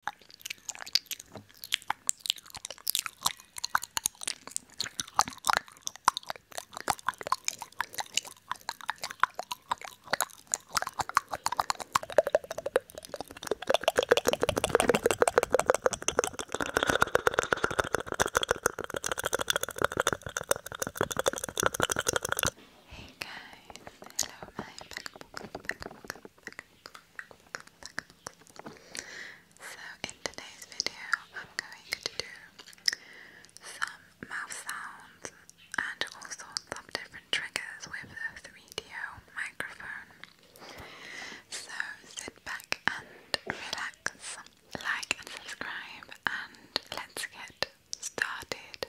Hey guys, hello my so in today's video I'm going to do some mouth sounds and also sorts different triggers with the 3DO microphone. So sit back and relax, like and subscribe and let's get started.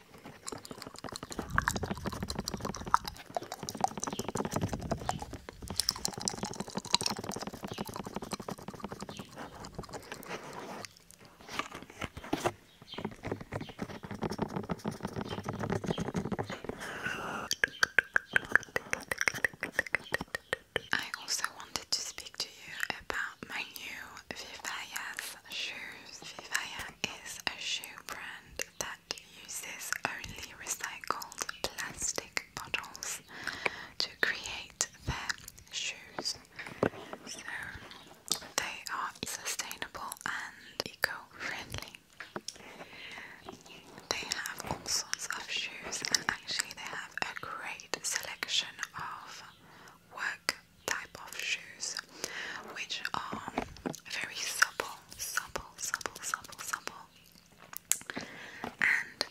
I also wanted to speak to you about my new Vivaya's shoes. Vivaya is a shoe brand that uses only recycled plastic bottles to create their shoes. So they are sustainable and eco-friendly. They have all sorts of shoes and actually they have a great selection of work type of shoes which are very simple supple, supple, supple, supple. And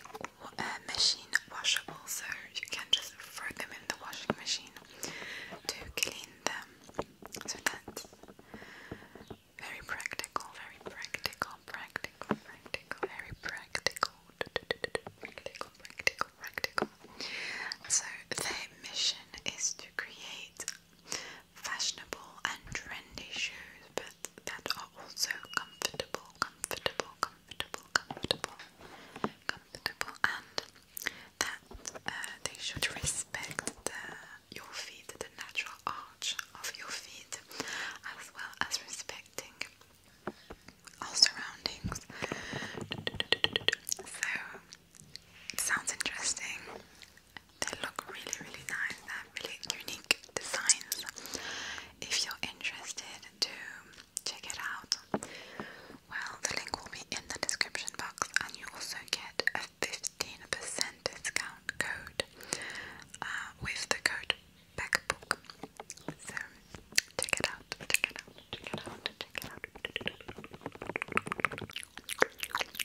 uh, machine washable, so you can just throw them in the washing machine to clean them. So that's very practical, very practical, practical, practical, very practical, practical, practical, practical. So their mission is to create fashionable and trendy shoes, but that are also comfortable, comfortable, comfortable, comfortable, comfortable, and that uh, they should respect your feet, the natural arch of your feet, as well as respecting all surroundings. So, sounds interesting. They look really, really nice. They're really unique designs. If you're interested to check it out, well, the link will be in the description box, and you also get a 15% discount code uh, with the code BACKBOOK. So check it out, check it out, check it out, check it out.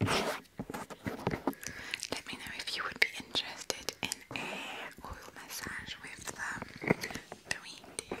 Let me know if you would be interested in a oil massage with the three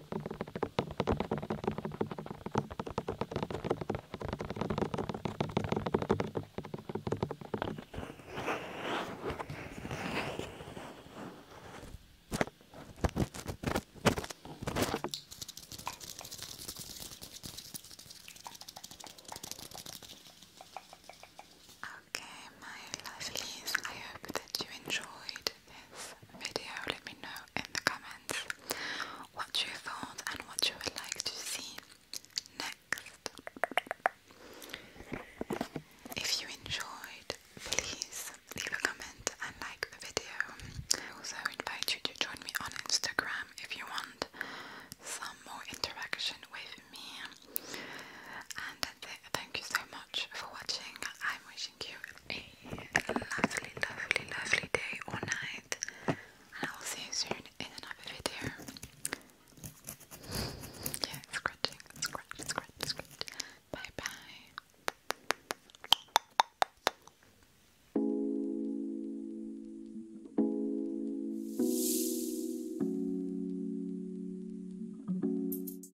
Okay, my I hope that you enjoyed this video, let me know in the comments what you thought and what you would like to see next. If you enjoyed, please leave a comment and like the video. I also invite you to join me on Instagram if you want some more interaction with me. And Thank you so much for watching. I am wishing. Thank you a lovely, lovely, lovely day or night. I will see you soon in another video. Yeah, scratching, scratch, scratch, scratch. Bye bye.